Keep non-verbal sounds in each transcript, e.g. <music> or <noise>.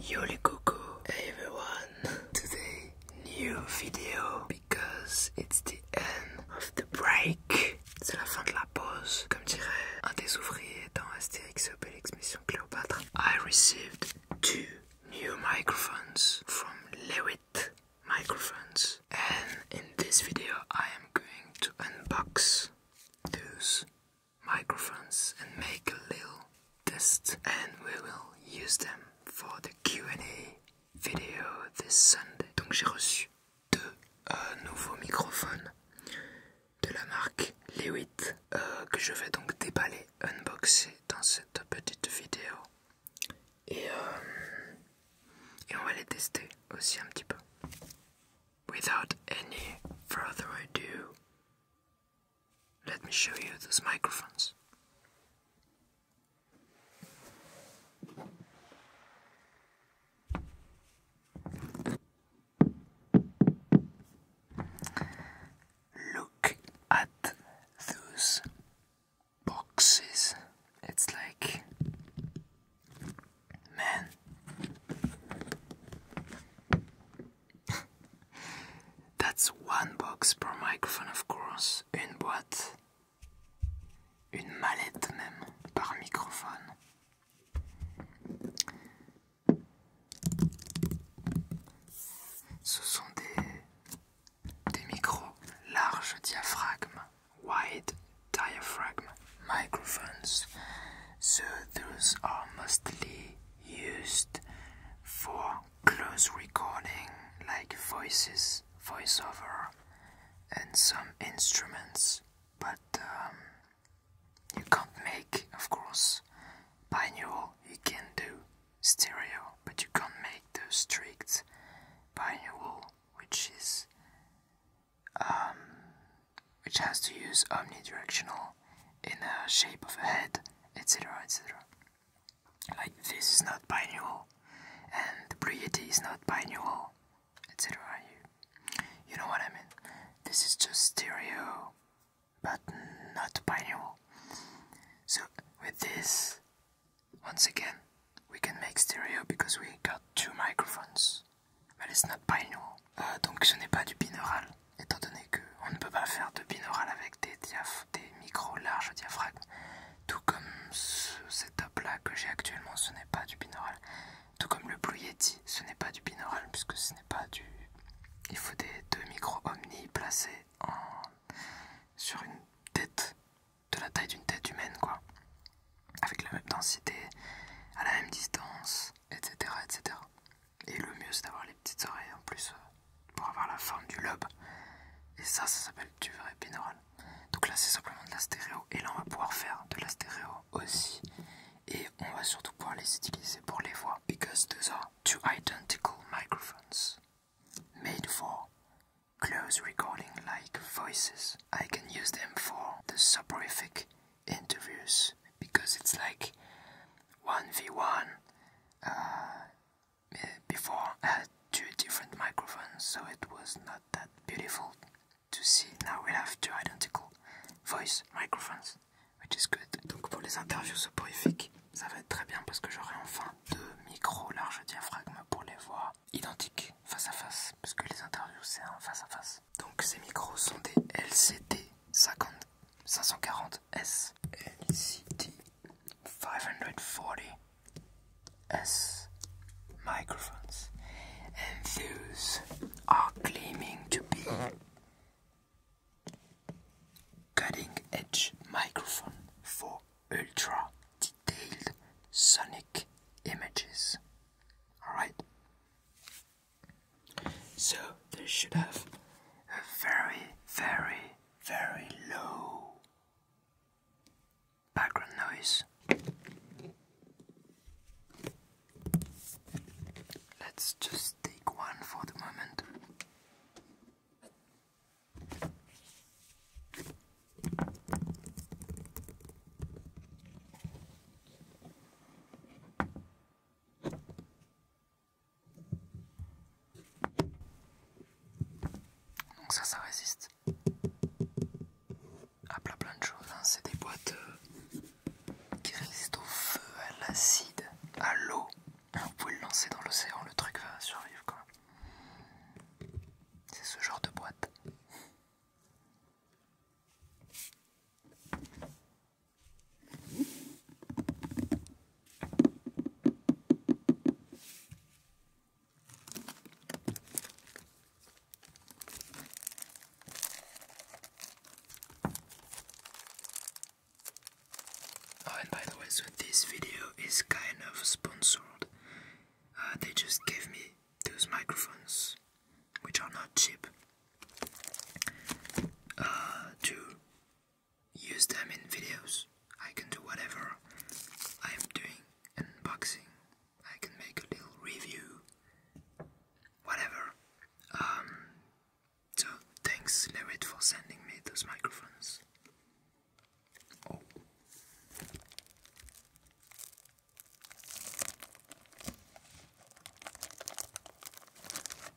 Yoli Cuckoo, hey everyone! Today, new video because it's the end of the break. C'est la fin de la pause, comme dirait un des ouvriers dans Astérix Obélix Mission Cléopâtre. I received two new microphones from Lewitt Microphones, and in this video, I am going to unbox those microphones and make a little test and we will use them for the Q&A video this Sunday. Donc j'ai reçu deux euh, nouveaux microphones de la marque Lewitt 8 euh, que je vais donc déballer, unboxer dans cette petite vidéo et, euh, et on va les tester aussi un petit peu. Without any further ado, Let me show you those microphones. Look at those boxes. It's like, man, <laughs> That's one box per microphone, of course. Une boîte. Une mallette même par microphone. Ce sont des, des micros large diaphragme, wide diaphragm microphones. So those are mostly used for close recording like voices, voiceover, and some instruments, but um, you can't make, of course, binaural. You can do stereo, but you can't make the strict binaural, which is um, which has to use omnidirectional in the shape of a head, etc. etc. Like this is not binaural, and the Blue is not binaural, etc. You, know what I mean? This is just stereo, but not binaural. So with this, once again, we can make stereo because we got two microphones, but it's not binaural. Euh, donc ce n'est pas du binaural, étant donné qu'on ne peut pas faire de binaural avec des, micros larges diaphragmes. Tout comme ce setup là que j'ai actuellement, ce n'est pas du binaural. Tout comme le Blue Yeti, ce n'est pas du binaural, puisque ce n'est pas du... Il faut des deux micros omni placés sur une tête, de la taille d'une tête humaine quoi. Avec la même densité, à la même distance, etc. etc. Et le mieux, c'est d'avoir les petites oreilles en plus euh, pour avoir la forme du lobe. Et ça, ça s'appelle du vrai binaural. Donc là, c'est simplement de la stéréo. Et là, on va pouvoir faire de la stéréo aussi. Et on va surtout pouvoir les utiliser pour les voix. Because que are two identical microphones made for close recording like voices. I can use them for the soporific interviews because it's like 1v1 uh, before I uh, had two different microphones so it was not that beautiful to see now we have two identical voice microphones which is good donc pour les interviews soporifiques ça va être très bien parce que j'aurai enfin deux micros large diaphragme pour les voix identiques face à face parce que les interviews c'est en face à face donc ces micros sont des LCD 50 540S, LCD 540S microphones, and those are claiming to be cutting edge microphone for ultra detailed sonic images. Alright? So they should have a very, very, very low background noise. Let's just take one for the moment. Donc ça, ça résiste à plein plein de choses. Hein. C'est des boîtes euh, qui résistent au feu, à l'acide, à l'eau. Vous pouvez le lancer dans l'océan, le truc va survivre C'est ce genre de boîte. Oh, and by the way, this video is kind of sponsored. Uh, they just gave me those microphones, which are not cheap uh, to use them in videos. I can do whatever I'm doing unboxing. I can make a little review, whatever. Um, so thanks, Lerit, for sending me those microphones. Oh.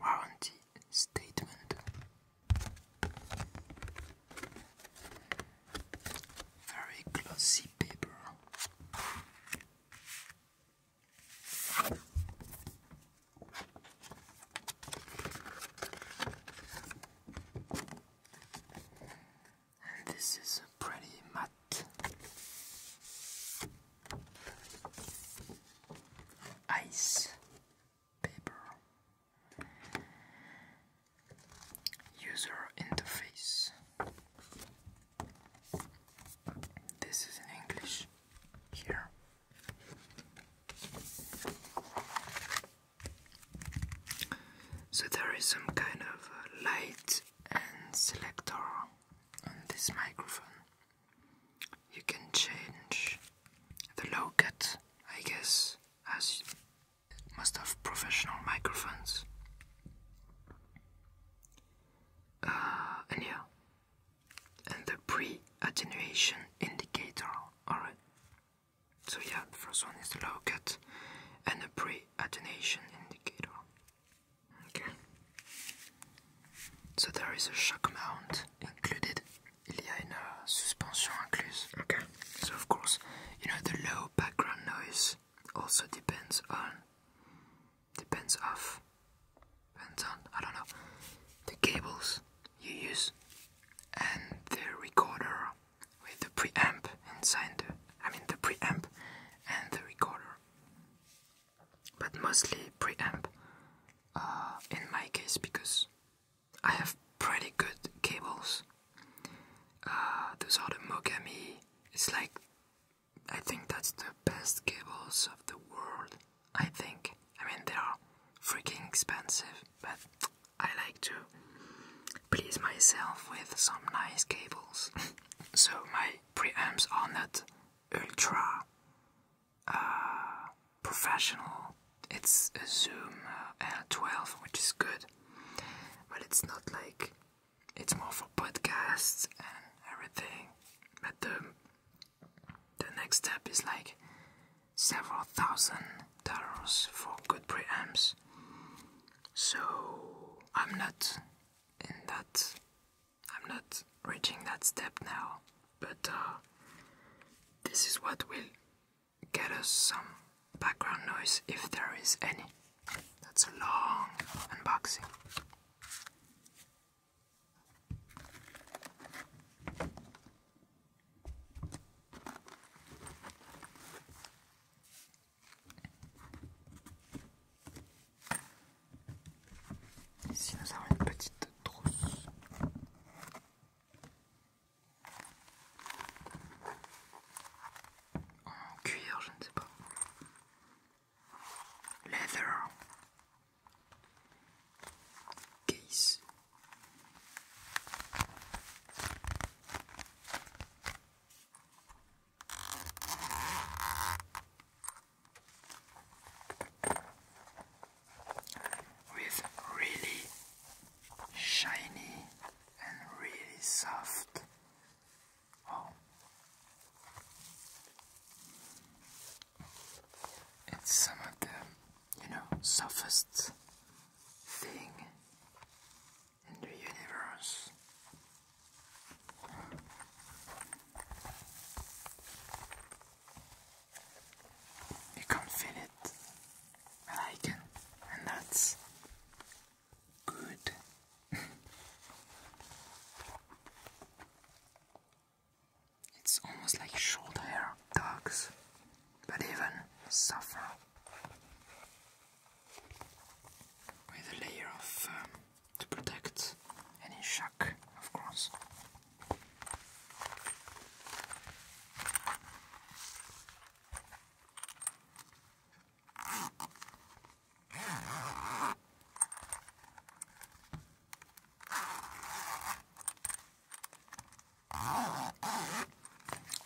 Warranty statement. Very glossy paper and this is a pretty matte. Ice paper. User interface. This is in English here. So there is some kind of uh, light and selector on this microphone. You can change the low cut, I guess, as must have professional microphones. Uh, and yeah, and the pre attenuation indicator, alright. So, yeah, the first one is the low cut and the pre attenuation indicator. Okay. So there is a shock mount included. Il y a uh, suspension incluse. Okay. So of course, you know the low background noise also depends on depends on I don't know the cables you use and the recorder with the preamp inside the, I mean the preamp and the recorder, but mostly preamp uh, in my case because I have pretty good cables. Uh, those are the Mogami. It's like I think that's the best cables of the world. I think. I mean, they are freaking expensive, but I like to please myself with some nice cables. <laughs> so my preamps are not ultra uh, professional. It's a Zoom uh, 12 which is good, but it's not like it's more for podcasts and everything. But the the next step is like several thousand dollars for good preamps so I'm not in that I'm not reaching that step now, but uh, this is what will get us some background noise if there is any. That's a long unboxing. Ici nous avons une petite trousse. En cuir, je ne sais pas. Leather. Case. with really shiny and really soft. Oh, it's some of the you know softest thing in the universe. You can't feel it, but I can, and that's good. <laughs> it's almost like short hair dogs, but even suffer with a layer of um, to protect any shock, of course.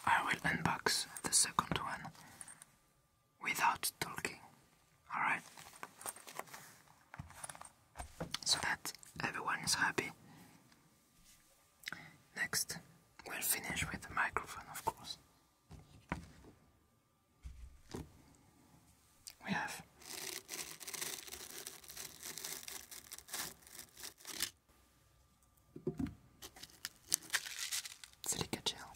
I will unbox the second one without talking. Alright? So that everyone is happy. Next, we'll finish with the microphone, of course. We have a gel.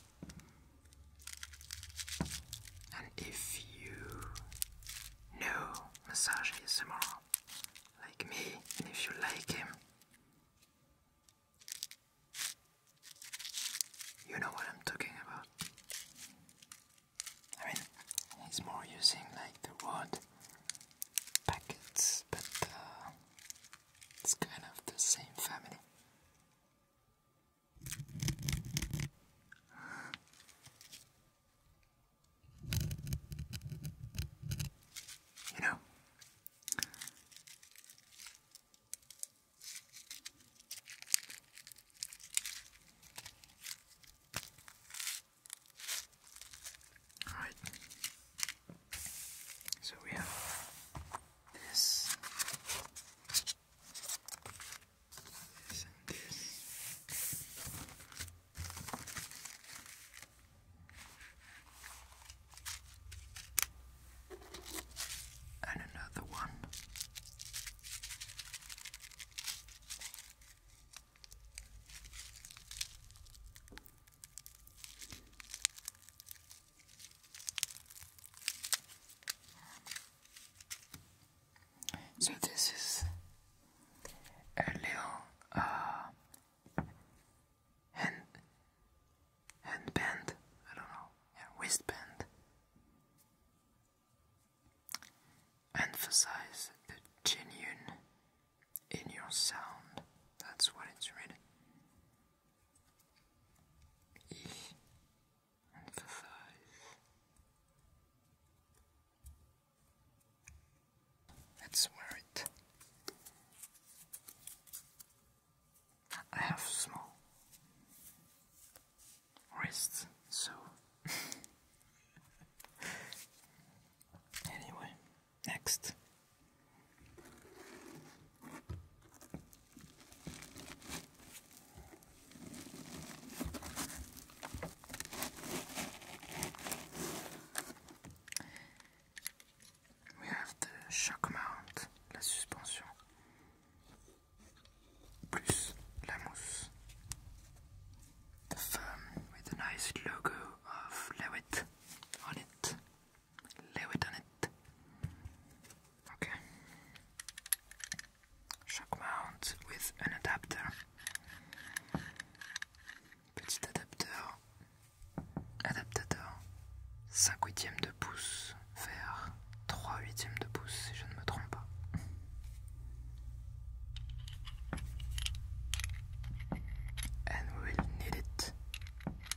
And if you know massage ASMR like me, and if you like him, you know what I'm talking about. I mean, he's more using like the wood packets, but uh, it's kind of the same family. You know, all right. So we have this, And another one. So this is a little uh, hand handband, I don't know, yeah, wristband. Emphasize the genuine in your sound. That's what it's really emphasize. Let's wear it. I have small wrists, so. <laughs> anyway, Next. We have the shock mount, la suspension, plus la mousse. with a nice logo of Lewitt on it. Leave it on it. Okay. Shock mount with an adapter. Petit adapteur. Adaptateur. 5 huitièmes de pouce vers 3 huitièmes de pouce si je ne me trompe And we will need it.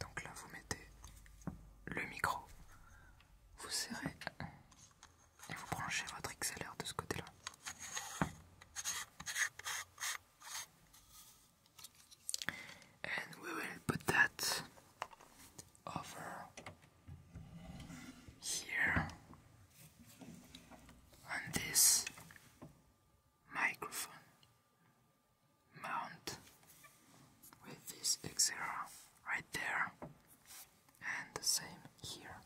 Donc là, vous mettez le micro, vous serrez et vous branchez votre XLR de ce côté-là. And over here on this microphone mount with this XLR right there and the same here.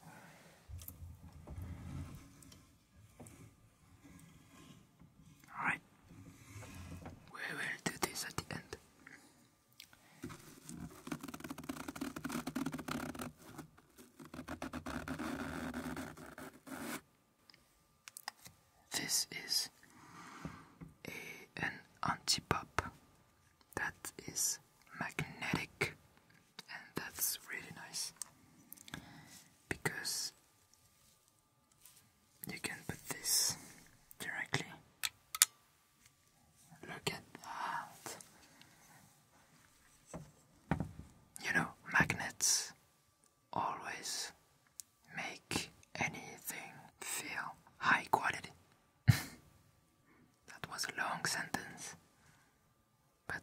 Alright, we will do this at the end. This is an anti-pop is magnetic and that's really nice because you can put this directly Look at that. You know, magnets always make anything feel high quality. <laughs> that was a long sentence, but.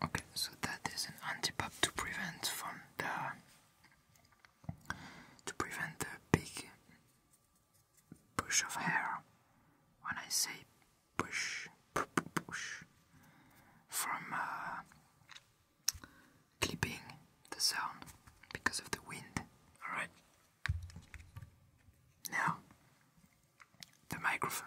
Okay, so that is an antipop to prevent from the to prevent the big push of hair when I say push, push from uh, clipping the sound because of the wind. Alright? Now, the microphone.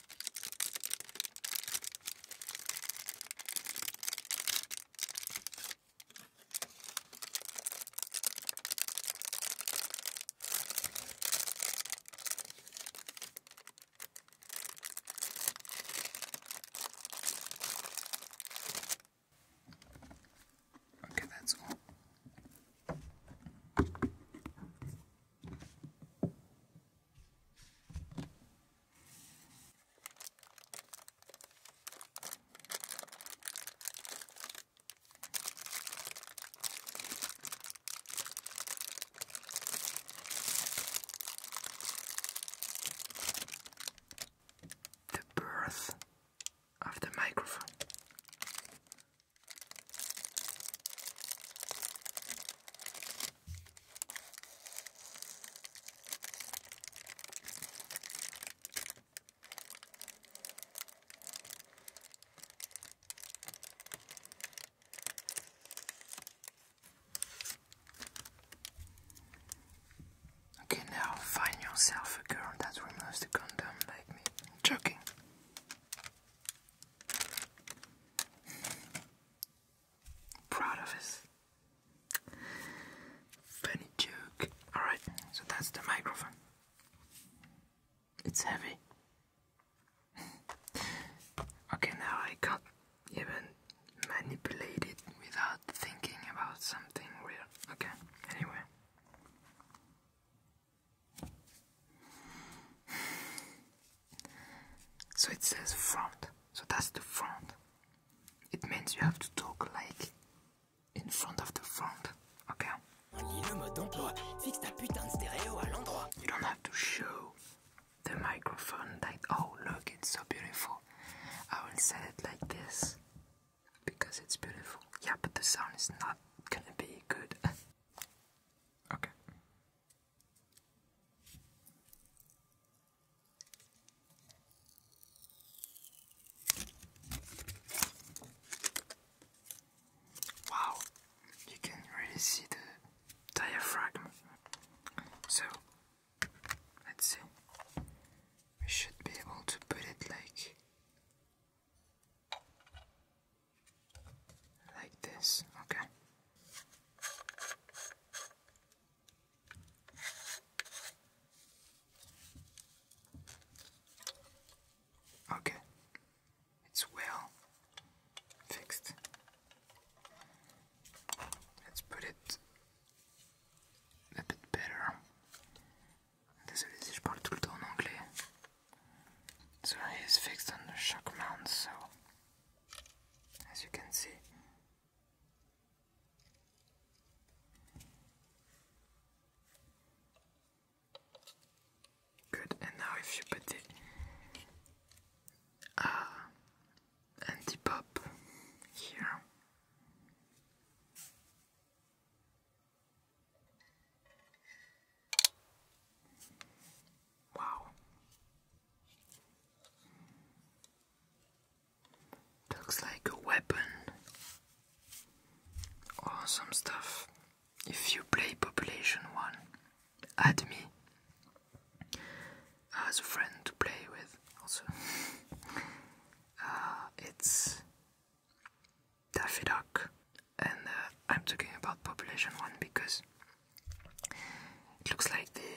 Okay, that's all. The birth of the microphone. Okay, now find yourself a girl that removes the condom like me. Joking proud of us. Funny joke. Alright, so that's the microphone. It's heavy. <laughs> okay, now I can even manipulate without thinking about something weird. Okay, anyway. So it says front. So that's the front. It means you have to talk like in front of the front. Okay? You don't have to show the microphone like, oh, look, it's so beautiful. I will set it like this because it's beautiful. Yeah, but the sound is not gonna be good. <laughs> okay. Wow, you can really see the diaphragm. So let's see, we should be able to put it like like this, okay. Okay, it's well fixed. Let's put it a bit better. Désolé si je parle tout le temps en So he fixed on the shock mount, so as you can see. Good, and now if you put the uh, anti pop here. Wow, Looks like a weapon or stuff. If you play Population 1, add me as a friend to play with, also. <laughs> Uh, it's Daffy Duck, and uh, I'm talking about Population 1 because it looks like the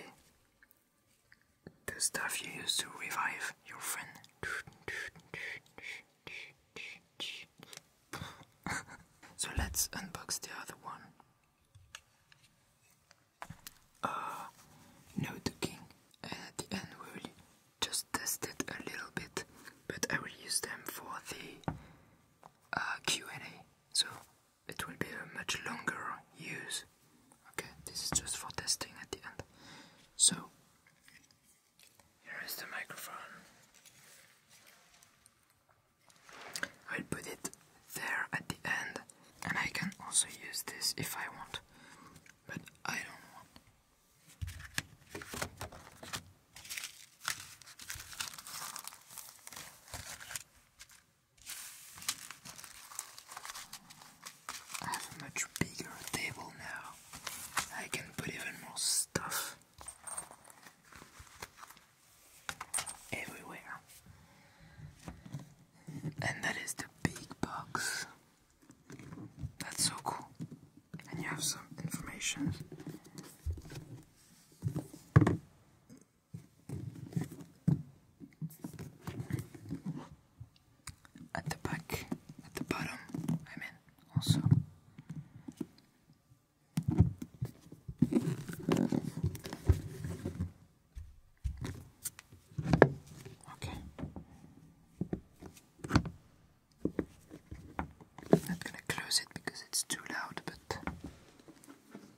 the stuff you use to revive your friend. so let's unbox the other one. Uh, no ducking. And at the end, we will just test it a little bit, but I will use them for the uh, Q&A. So it will be a much longer use. Okay, this is just for testing at the end. So, here is the microphone. I'll put it there at the end, and I can also use this if I want, but I don't want. I have a much bigger table now. I can put even more stuff everywhere. And that is the big box. That's so cool. And you have some information at the back, at the bottom, I also. Okay. am not gonna close it because it's too loud, but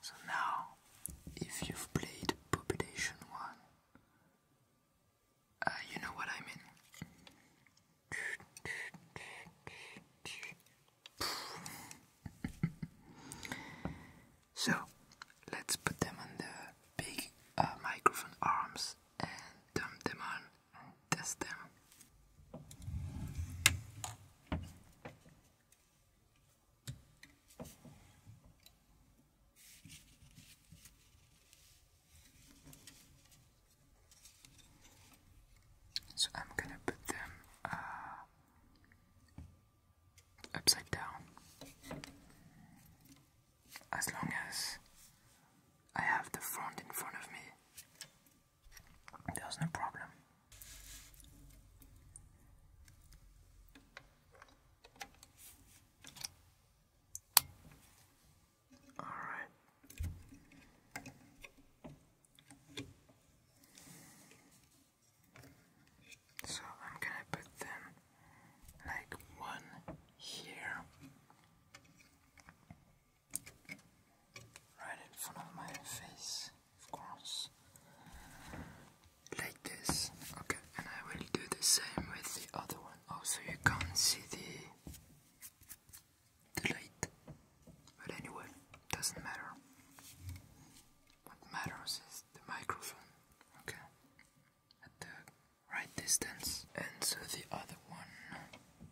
So now, if you've played Population 1, uh, you know what I mean. so let's put them on the big uh, microphone arms and dump them on test them. So I'm gonna put them uh, upside down. As long as I have the front in front of me, there's no problem. All right. So I'm gonna put them like one here right in front of my face, of course, like this. Okay, and I will do the same with the other one. Also, you can't see the the light, but anyway, doesn't matter. What matters is the microphone. Okay, at the right distance, and so the other one.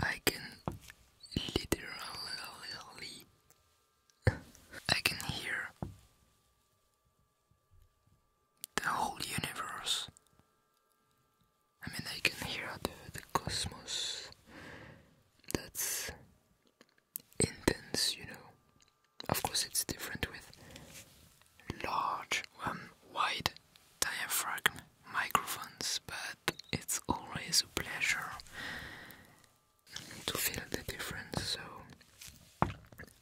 I can literally I can hear the whole universe. I mean, I can hear the, the cosmos. That's intense, you know. Of course, it's different with large, um, wide diaphragm microphones, but it's always a pleasure to feel the difference. So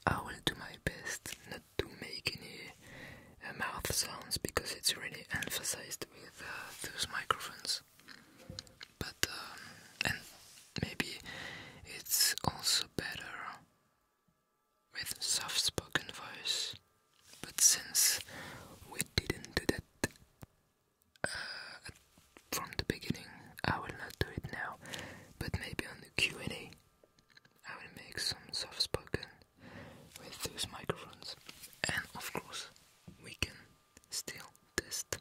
I will do my best not to make any uh, mouth sounds because it's really emphasized with uh, those microphones. But um, and maybe it's also better with soft-spoken voice. But since we didn't do that, from the beginning. I will not do it now, but maybe on the Q&A I will make some soft spoken with those microphones. And of course, we can still test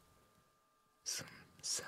some sounds.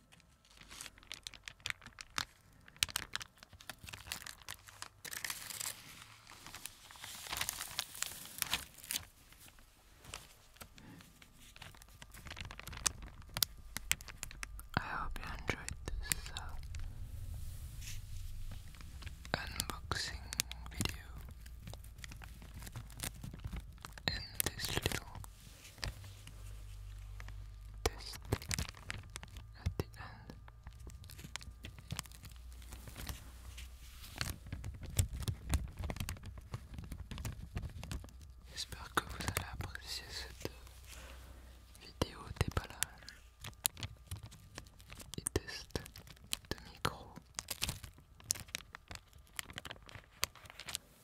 I hope you enjoyed this uh, unboxing video and this little J'espère que vous allez apprécier cette euh, vidéo déballage et test de micro.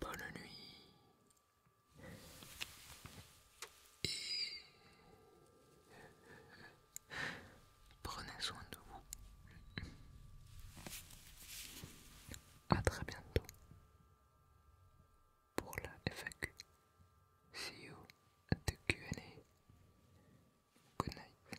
bonne nuit et prenez soin de vous. À très bientôt pour la FAQ. See you Q&A. Good night.